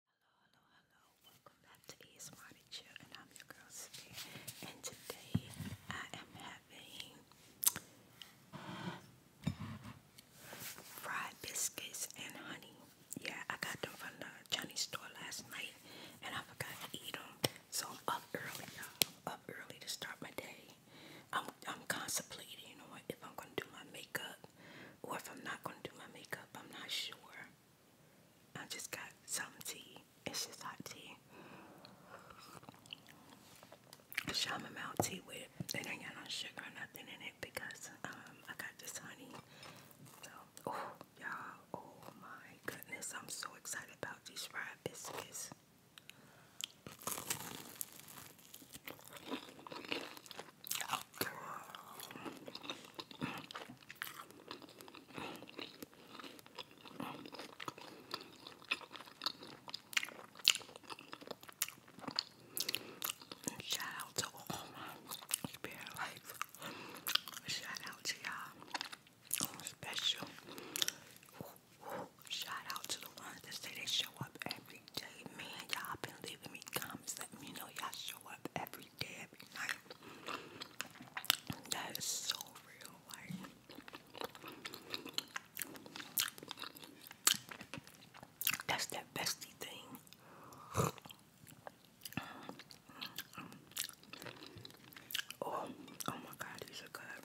Hello, hello, hello. Welcome back to ASMR to and I'm your girl, Spirit. And today I am having fried biscuits and honey. Yeah, I got them from the Chinese store last night, and I forgot to eat them. So I'm up early, y'all. up early to start my day. I'm, I'm contemplating you know, if I'm going to do my makeup or if I'm not gonna do my makeup, I'm not sure. I just got some tea. It's just hot tea. Shaman tea with it ain't got no sugar nothing in it because um I got this honey. So oh, y'all, oh my goodness, I'm so excited about these fried biscuits. Shout out to all my spirit Shout out to you special. Shout out to the ones that say they show up every man. Y'all been leaving me comments. Let me know y'all show up every day, every night. That is so real, like. That's that bestie thing. Um, oh, oh my God, these are good.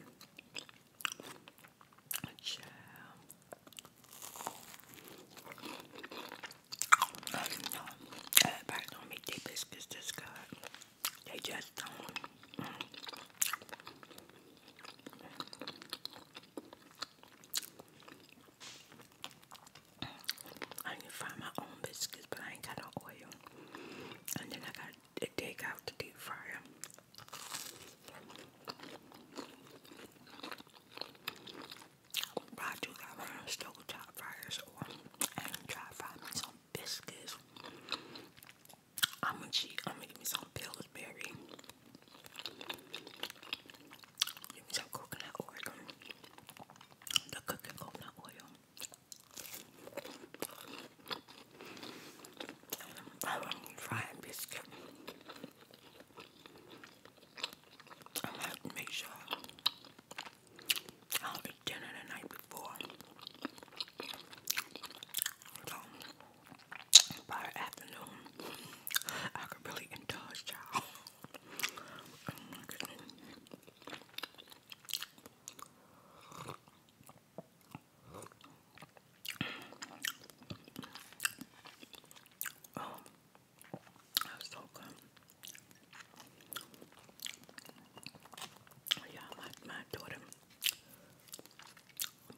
Child. I don't make biscuits this They just don't. I need to my own biscuits, but I ain't got no oil. And then I got to dig out the deep fryer. But I do got one of those stove top fryers or and try to fry me some biscuits. I'm gonna cheat. I'm gonna give me some Pillsbury. Give me some coconut oil. The cooking coconut oil. And I'm frying biscuit. I have to make sure I'll eat dinner the night before. So, by afternoon, I could really indulge, y'all. Oh Oh, that's so good. Oh, yeah, my, my daughter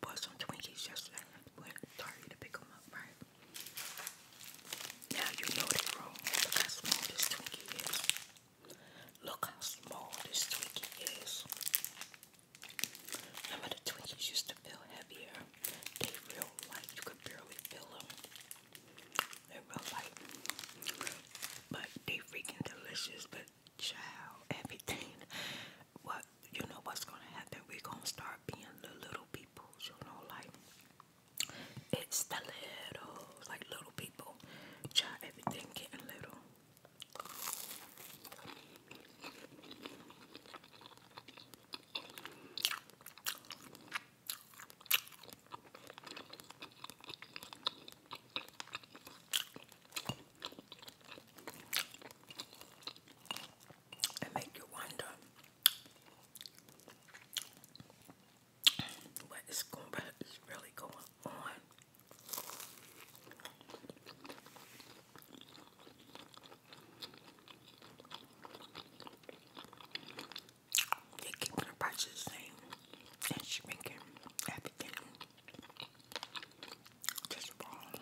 bought some Twinkies yesterday. Went to pick them up, right? Now you know they wrong. Look how small this Twinkie is. Look how small this Twinkie is. Remember the Twinkies used to feel heavier. They real light. You could barely feel they real light. But they freaking delicious. But child, everything. What you know what's gonna happen? we gonna start being the little people, you know, like it's the little like little people. Child everything getting little. It make you wonder what is going, what is really going on they're keeping the the same and shrinking everything. Just wrong.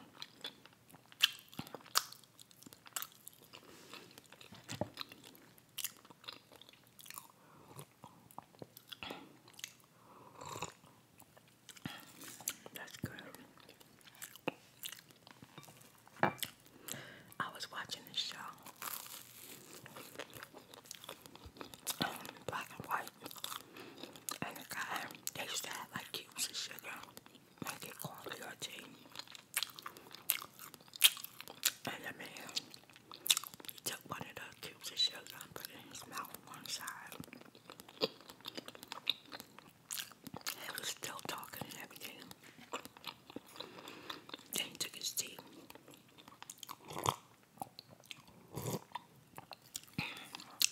That's good. I was watching this show. Black and white. And the guy, they used like cubes of sugar. Make it coffee or tea. And the man he took one of the cubes of sugar and put it in his mouth one side. He was still talking and everything. Then he took his tea.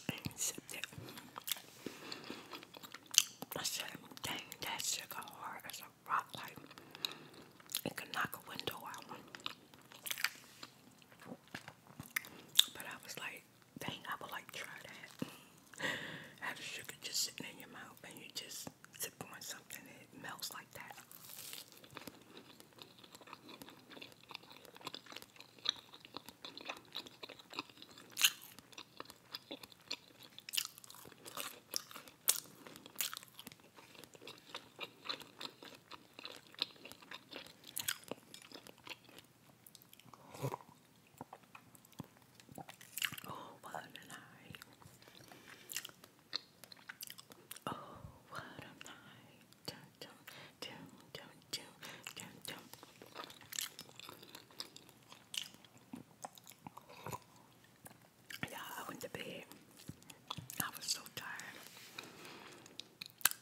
And sipped it. I said, dang, that sugar hard as a rock. Like, it could knock a window out. But I was like, dang, I would like try that. Have the sugar just sitting in your mouth and you just sip on something it melts like that. Oh, what a night! Oh, what a night! Dun, dun, dun, dun, dun, dun, dun. Yeah, I went to bed. I was so tired.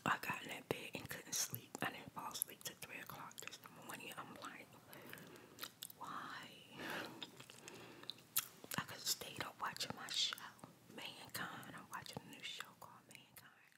I got in that bed and couldn't sleep. I didn't fall asleep till 3 o'clock this morning. I'm like, why? I could have stayed up my show, Mankind. I'm watching a new show called Mankind.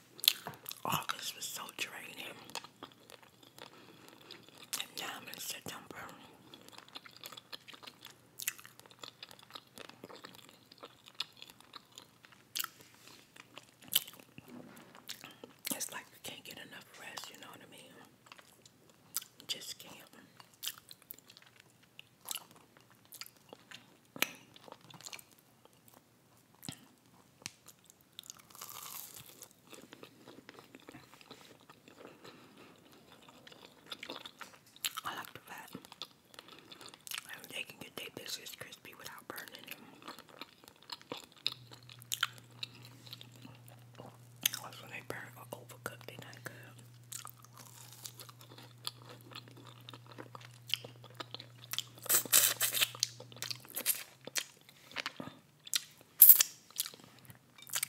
August oh, was so draining. And now in September. It's like we can't get enough rest, you know what I mean? Just can't. I like the fat. And they can get their biscuits crispy without burning them. Also, when they burn or uh, overcook, they not good.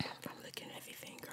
I'm looking at your finger.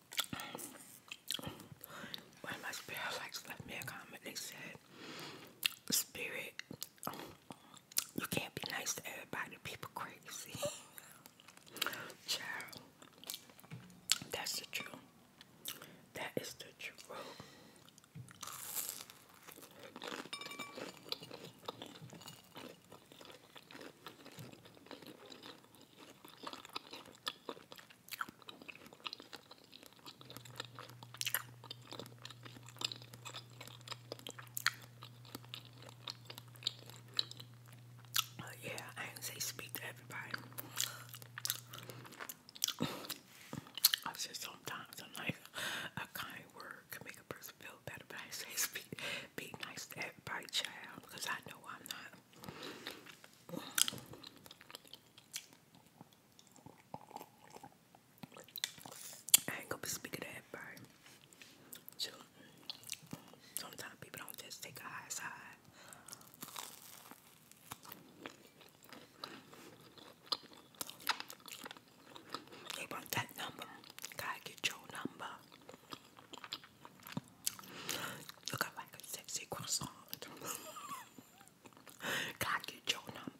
One of my spirit likes left me a comment. They said, Spirit, you can't be nice to everybody. People crazy. Child, that's the truth. That is the truth yeah, I did say speak to everybody. I said sometimes a kind word can make a person feel better, but I say speak, be nice to everybody, child, because I know I'm not. I ain't gonna be speaking to everybody. sometimes people don't just take a high side. They want that number. Gotta get your number. Looking like a sexy croissant. Can I get your number?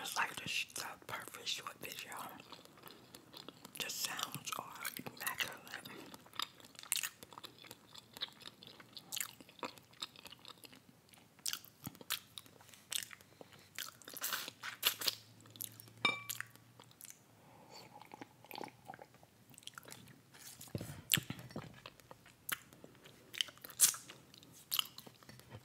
It's like the South Perfect short video. The sounds are immaculate.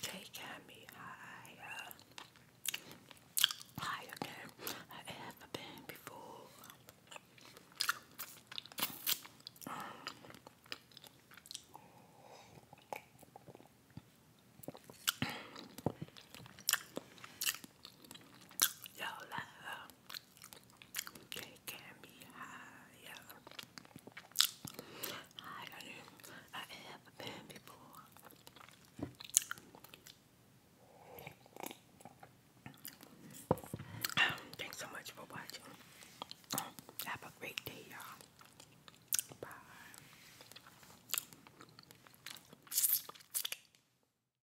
Taking me higher, higher than I ever been before. Your love taking me higher, higher than I ever been before. Thanks so much for watching. Have a great day, y'all. Bye.